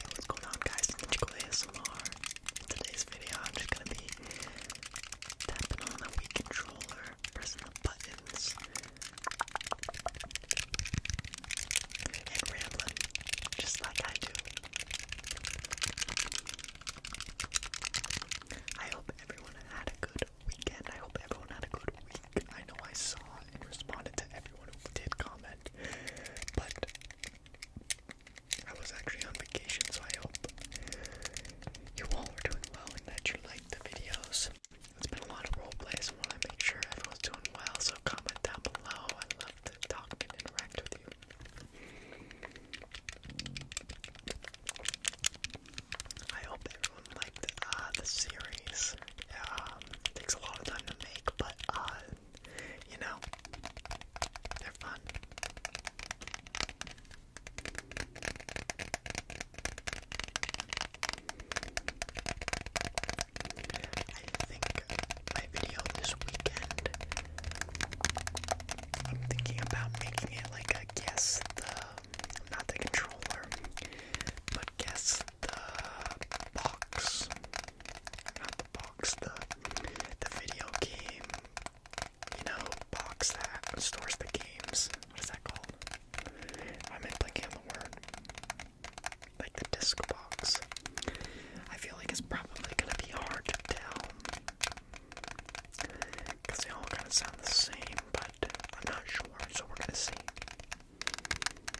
what's going on guys? Ninjago ASMR. In today's video I'm just gonna be tapping on the Wii controller, pressing the buttons, and rambling, just like I do. I hope everyone had a good weekend. I hope everyone had a good week. I know I saw and responded to everyone who did comment, but I was actually on vacation, so I hope you all are doing well and that you liked the videos. It's been a lot of role plays, and I want to make sure everyone's doing well, so comment down below. i love to talk and interact with you. I hope everyone liked uh, the series. it takes a lot of time to make, but uh, you know, they're fun. I think my video this weekend, I'm thinking about making it like a guess the, not the controller, but guess the box, not the box, the the video game, you know, box that stores the games. What is that called? I'm blanking on the word. Like the disc box. I feel like it's probably gonna be hard to tell because they all kind of sound the same, but I'm not sure. So we're gonna see.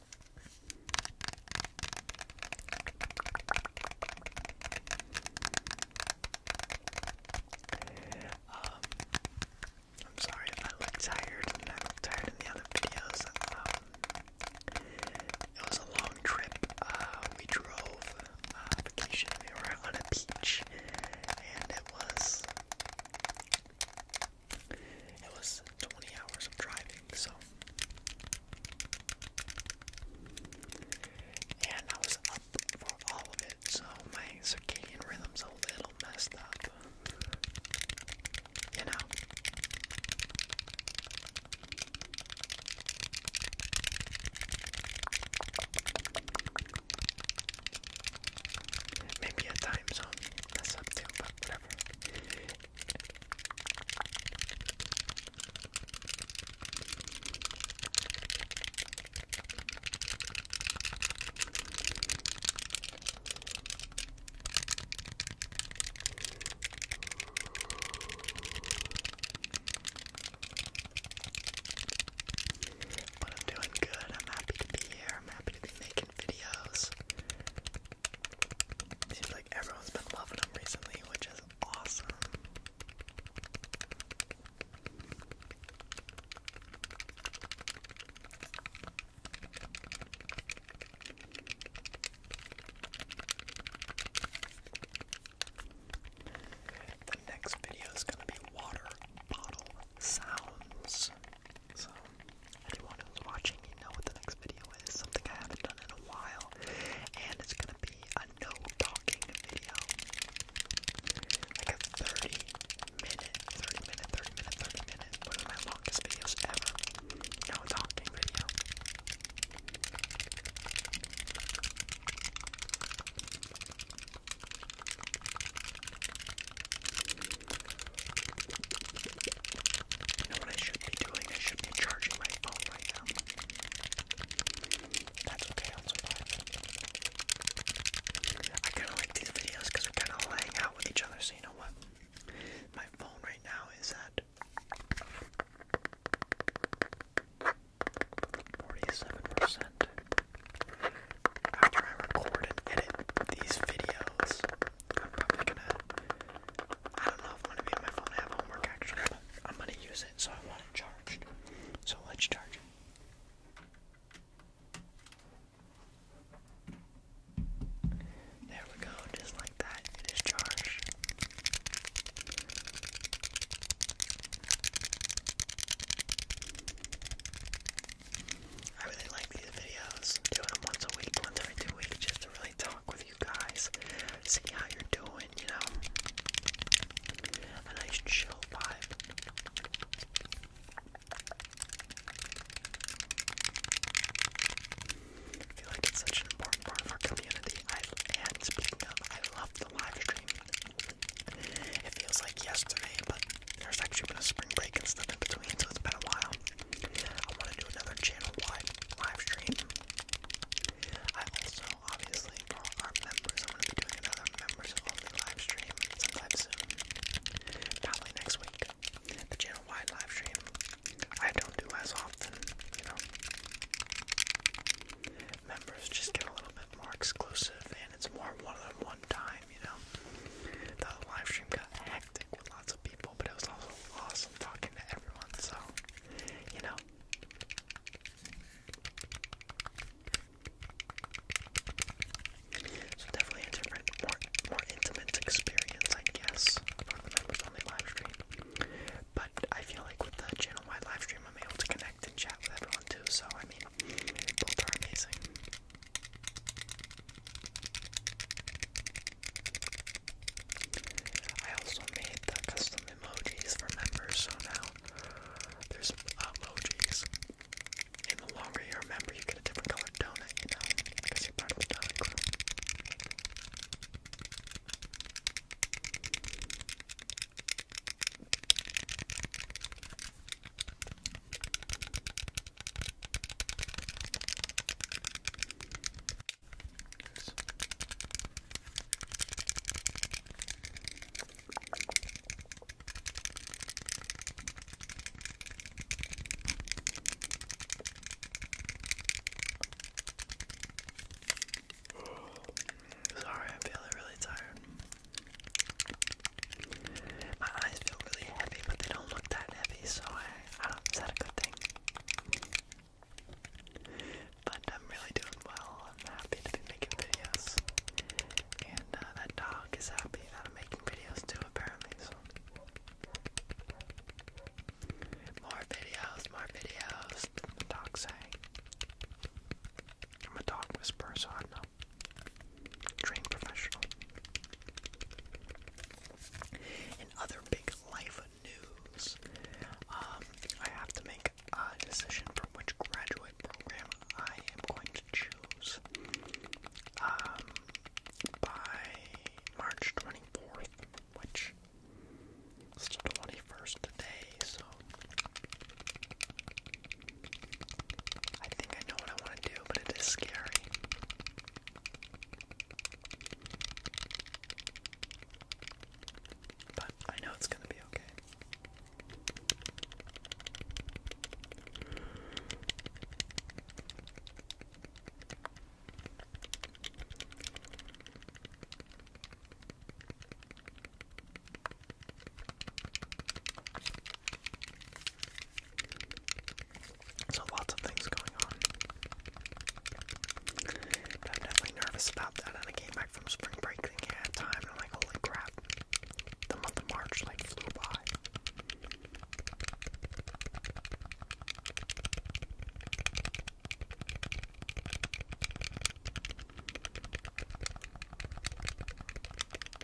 Um, I'm sorry if I look tired. I look tired in the other videos. Um, it was a long trip. Uh, we drove uh, vacation. We were on a beach, and it was it was 20 hours of driving, so. And I was up for all of it, so my circadian rhythm's a little messed up. You know? Maybe a time zone that's up too, but whatever. But I'm doing good. I'm happy to be here. I'm happy to be making videos. like everyone's been loving them recently, which is awesome. The next video is going to be water bottle sounds. So Anyone who's watching, you know what the next video is. Something I haven't done in a while, and it's gonna be a no talking video, like a 30 minute, 30 minute, 30 minute, 30 minute, one of my longest videos ever. No talking video. You know what I should be doing? I should be charging my phone right now. That's okay, I'll survive. I kind of like these videos because we kind of hang out with each other, so you know what? My phone right now is at 47%. After I record and edit these videos, I'm probably gonna. I don't know if I'm gonna be on my phone. I have homework actually, I'm gonna use it, so I want it charged. So let's charge it. There we go, just like that, it is charged. I really like these videos, doing them once a week, once every two weeks, just to really talk with you guys, see how you're doing, you know, a nice chill vibe. I feel like it's such an important part of our community. I, and speaking of, I love the live stream. It feels like yesterday, but there's actually been a spring break and stuff in between, so it's been a while. I want to do another channel-wide live stream. I also, obviously, for our members, I'm going to be doing another members-only live stream sometime soon. Probably next week. The channel-wide live stream. I don't do as often, you know. Members just get a little bit more exclusive, and it's more one of them -one time you know. The live stream got hectic with lots of people, but it was also awesome talking to everyone, so you know. So definitely a different, more more intimate experience, I guess, for members only live stream. But I feel like with the channel wide live stream, I'm able to connect and chat with everyone too. So I mean, both are amazing. I also made the custom emojis for members, so now there's emojis. And the longer you're a member, you get a different color donut, you know, because you're part of the donut crew. Sorry, I'm feeling really tired. My eyes feel really heavy, but they don't look that heavy, so I, I don't, is that a good thing? But I'm really doing well. I'm happy to be making videos. And uh, that dog is happy that I'm making videos too, apparently. So. More videos, more videos, the dog's saying. I'm a dog whisperer, so I know trained professional. In other big life news, um, I have to make a decision from which graduate program I am going to choose um, by March 24th, which is 21st today, so I think I know what I want to do, but it is scary. But I know it's going to be okay. So lots of things going on. But I'm definitely nervous about that. And I came back from spring break and I had time, and I'm like, holy crap, the month of March like flew by.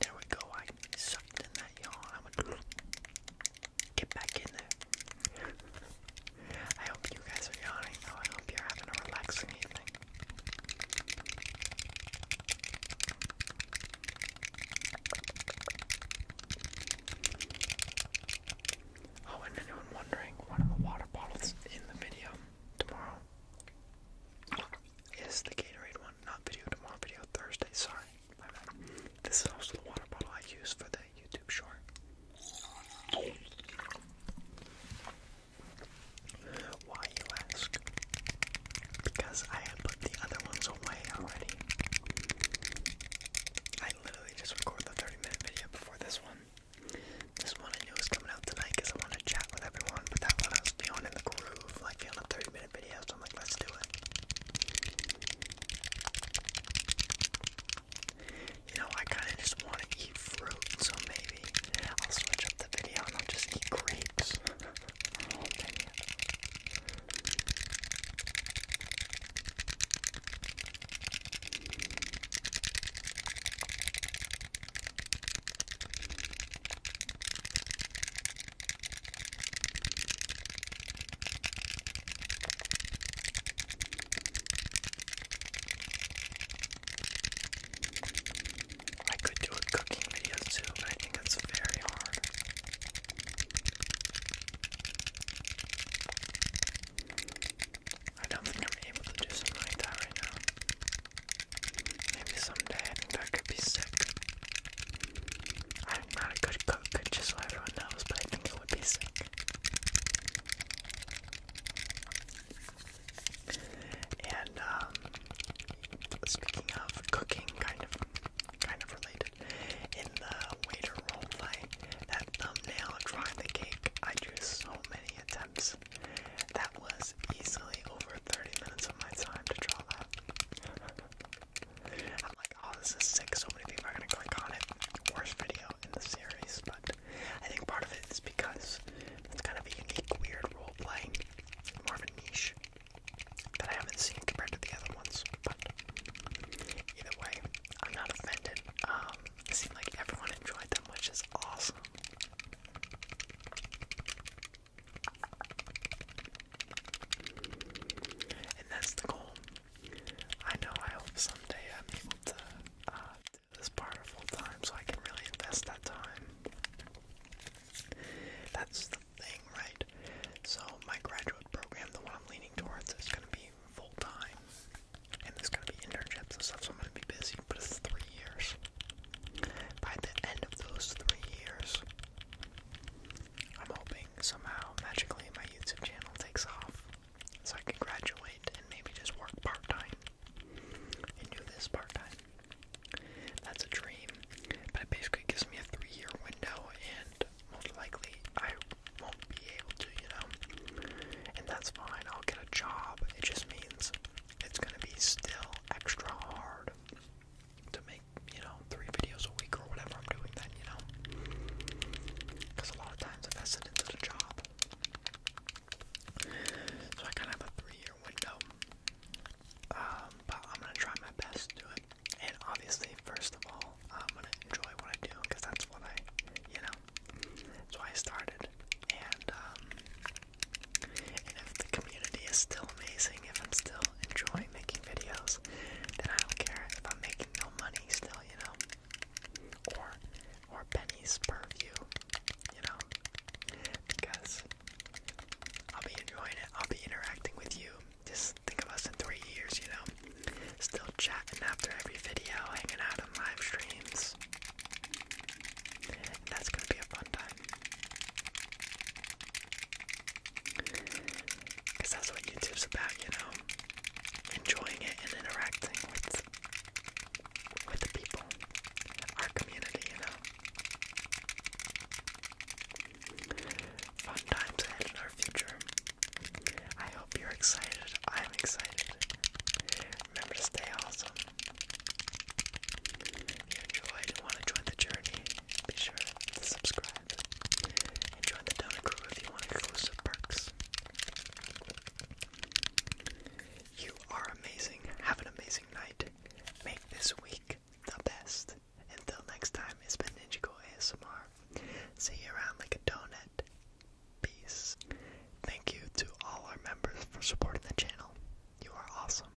There we go. I sucked in that yawn. I'm gonna get back in there. I hope you guys are yawning I hope you're having a relaxing evening. Oh, and anyone wondering, one of the water bottles in the video tomorrow is the Gatorade one not video tomorrow, video Thursday. Sorry, my bad. This is also the water bottle I use for the YouTube short. Why you ask? Because I had put the other ones away already. I literally just recorded the 30 minute video before this one. This one I knew was coming out tonight because I wanted to chat with everyone, but that one I was feeling in the groove, like feeling a 30 minute i You know, I kind of just want to eat fruit, so maybe I'll switch up the video and I'll just eat grapes. I could do a cooking video too, I think that's very hard. I don't think I'm able to do something like that right now. Maybe someday I that could be sick. I'm not a good cook, just so everyone knows, but I think it would be sick. And um, speaking of cooking, kind of, kind of related, in the waiter roleplay, that thumbnail drawing the cake, I drew so many attempts. That was easily over 30 minutes of my time to draw that. I'm like, oh, this is sick. So many people are gonna click on it. Worst video in the series, but I think part of it is because it's kind of a unique, weird role playing, more of a niche that I haven't seen compared to the other ones. But either way, I'm not offended. Um, it seemed like everyone enjoyed them, which is awesome. And that's the goal. I know I hope someday I'm able to uh, do this part full time so I can really invest that time. That's the thing, right? So, my graduate program, the one I'm leaning towards, is going to be full time. And there's going to be internships and stuff, so I'm going to be busy, but it's three years. By the end of those three years, I'm hoping somehow magically my YouTube channel takes off so I can graduate and maybe just work part time do this part time. That's a dream, but it basically gives me a three year window, and most likely I won't be able to, you know. And that's fine, I'll get a job. It just means it's gonna be still extra hard to make, you know, three videos a week or whatever I'm doing then, you know? Because a lot of times I invested into the job. So I kind of have a three-year window. Um, but I'm going to try my best to do it. And obviously, first of all, I'm going to enjoy what I do because that's what I, you know, that's why I started. Um, and if the community is still amazing, if I'm still enjoy making videos, then I don't care if I'm making no money still, you know? Or or pennies per view, you know? Because I'll be enjoying it, I'll be interacting with you. Just think of us in three years, you know? Still chatting after every video, hanging out on live streams. that's gonna be a fun time. Because that's what YouTube's about, you know? Enjoying it and interacting with with the people. Our community, you know. Fun times ahead in our future. I hope you're excited. I'm excited. Remember to stay awesome you enjoyed and want to join the journey, be sure to subscribe join the donor crew if you want exclusive perks. You are amazing. Have an amazing night. Make this week the best. Until next time, it's been Ninjago ASMR. See you around like a donut. Peace. Thank you to all our members for supporting the channel. You are awesome.